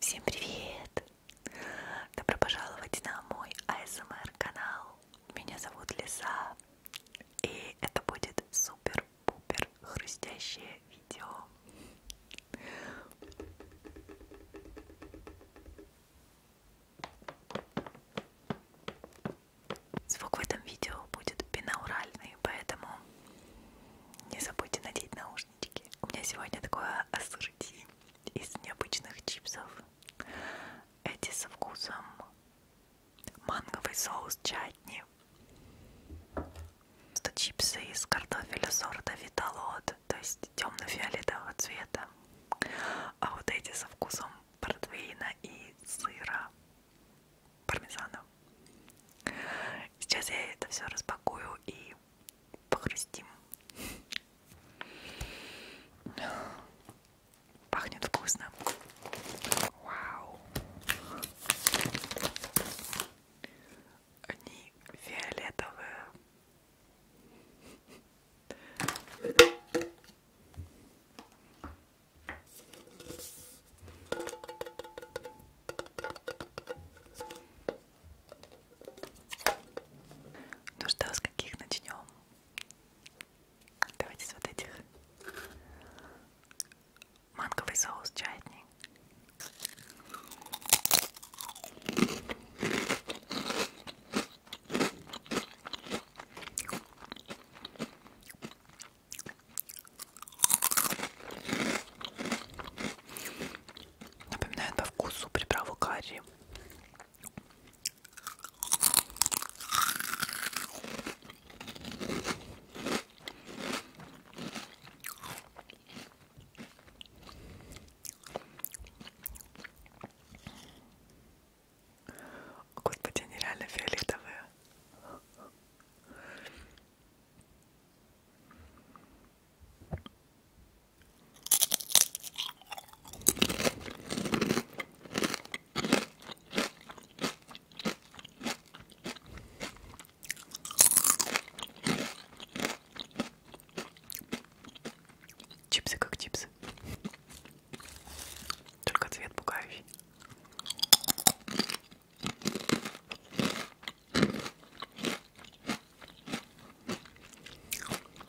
Всем привет! Добро пожаловать на мой ASMR канал. Меня зовут Лиса, и это будет супер-пупер хрустящее видео. Звук в этом видео будет бинауральный, поэтому не забудьте надеть наушнички. У меня сегодня такое ассорти из необычных чипсов. Эти со вкусом манговый соус чатни, что чипсы из картофеля сорта Виталот, то есть темно-фиолетового цвета, а вот эти со вкусом портвейна и сыра пармезана. Сейчас я это все распакую и похрустим. Пахнет вкусно. Вау. Они фиолетовые. Ну что, с каких начнем? Давайте с вот этих. Манговый соус чайный. Напоминает по вкусу приправу карри. Господи, они реально фиолетовые. Чипсы как чипсы. Только цвет пугающий.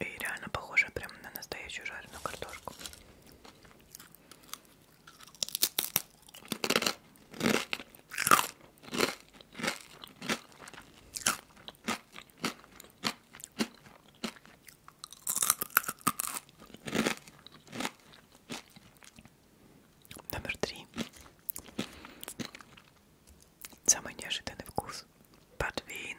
И реально похоже прям на настоящую жареную картошку. Номер три. Самый неожиданный вкус. Подвин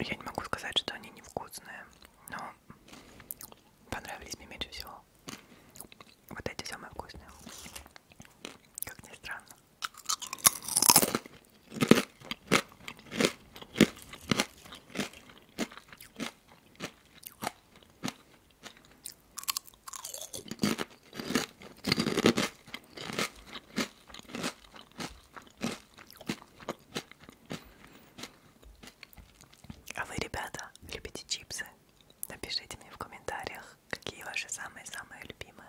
Я не могу сказать, что они невкусные, но понравились мне меньше всего. Вот эти самые вкусные. Как ни странно. А вы, ребята, любите чипсы? Напишите мне в комментариях, какие ваши самые-самые любимые.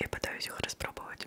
Я пытаюсь их распробовать.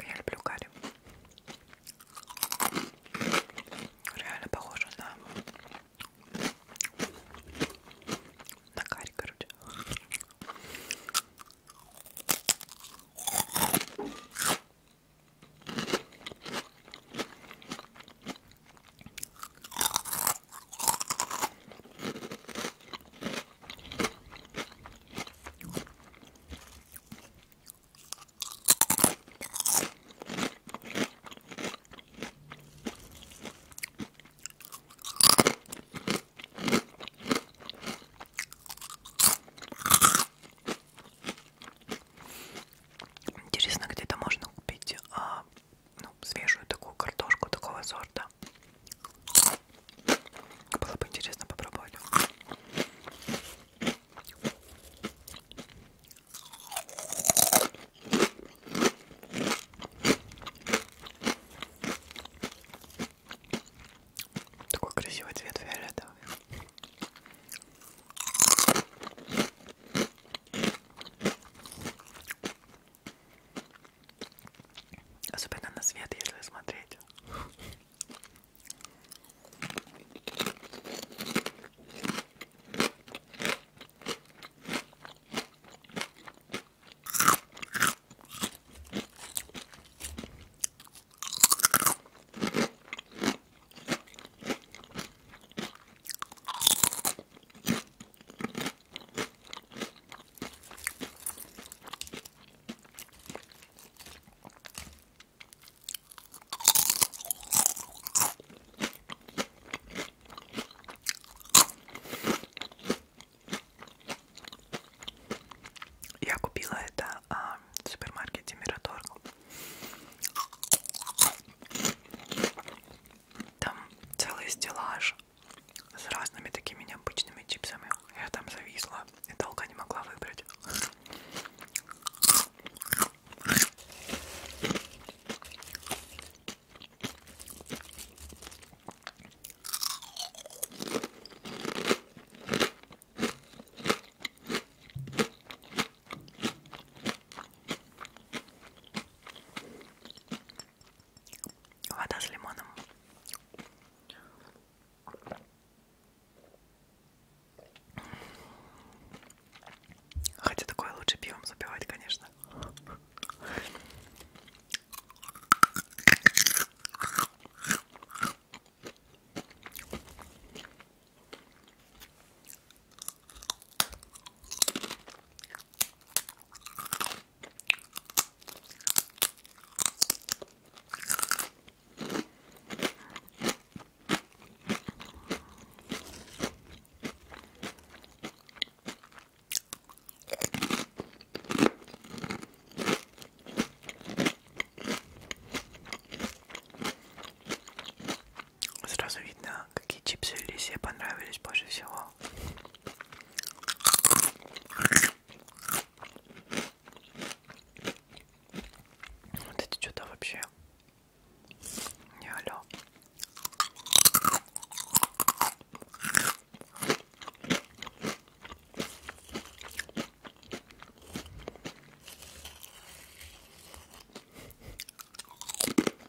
Я люблю карри. Реально похоже на на карри, короче. Интересно, где-то можно купить а, ну, свежую такую картошку такого сорта да. Было бы интересно попробовать. Такой красивый цвет фиолетовый. Особенно на свет, если смотреть. Я купила это а, в супермаркете Мираторг. Там целый стеллаж с разными такими необычными чипсами. Я там зависла и долго не могла выбрать. Вода с лимоном. Хотя такое лучше пивом запивать, конечно. Сразу видно, какие чипсы Лисе понравились больше всего. Вот это что-то вообще не алё.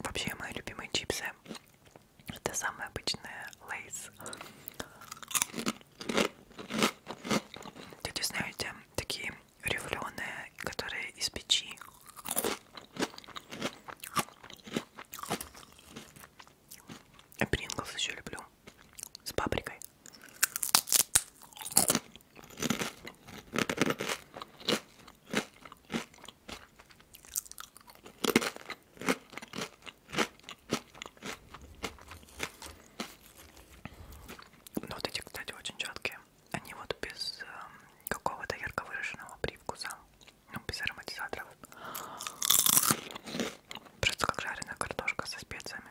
Вообще мои любимые чипсы это самые обычные лейс. Тут, знаете, такие рифленые, которые из печи. Я принглс еще люблю. С паприкой. Но вот эти, кстати, очень четкие. Они вот без э, какого-то ярко выраженного привкуса, ну, без ароматизаторов. Просто как жареная картошка со специями.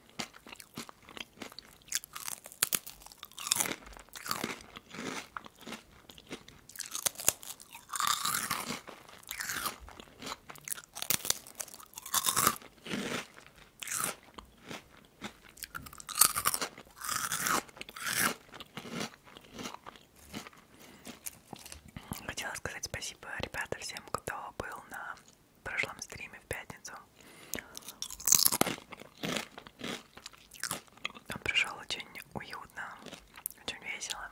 Хотела сказать спасибо, ребята, всем, кто был на прошлом стриме в пятницу. Он пришел очень уютно, очень весело.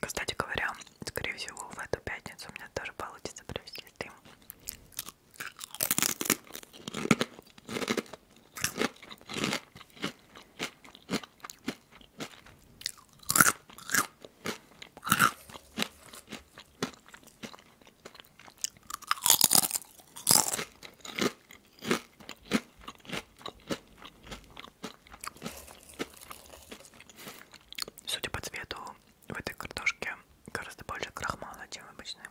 Кстати говоря, скорее всего, в эту пятницу у меня тоже получится провести стрим. Судя по цвету, в этой картошке гораздо больше крахмала, чем обычная.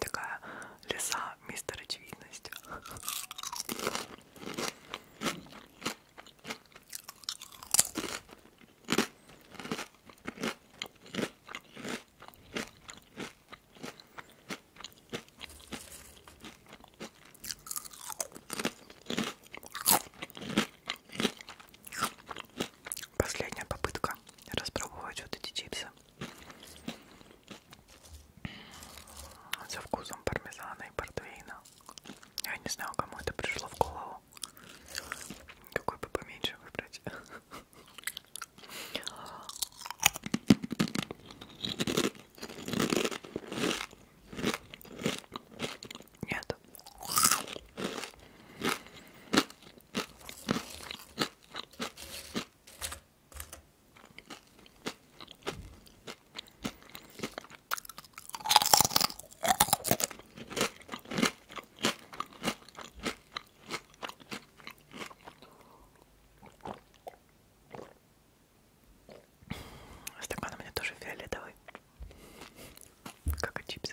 Такая лиса, мистер очевидность. Последняя попытка распробовать вот эти чипсы со вкусом пармезана и портвейна. Я не знаю, кому это пришло в голову. Какой бы поменьше выбрать. Нет. Стакан у меня тоже фиолетовый, как и чипсы.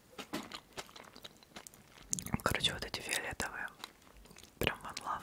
Короче, вот эти фиолетовые. Прям one love.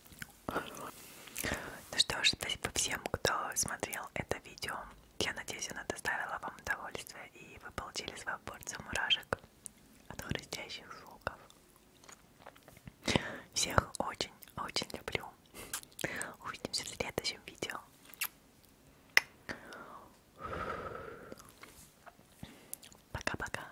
Ну что ж, спасибо всем, кто смотрел это видео. Я надеюсь, она доставила вам удовольствие и вы получили свою порцию мурашек от хрустящих звуков. Всех очень-очень люблю. Увидимся в следующем видео. Пока-пока.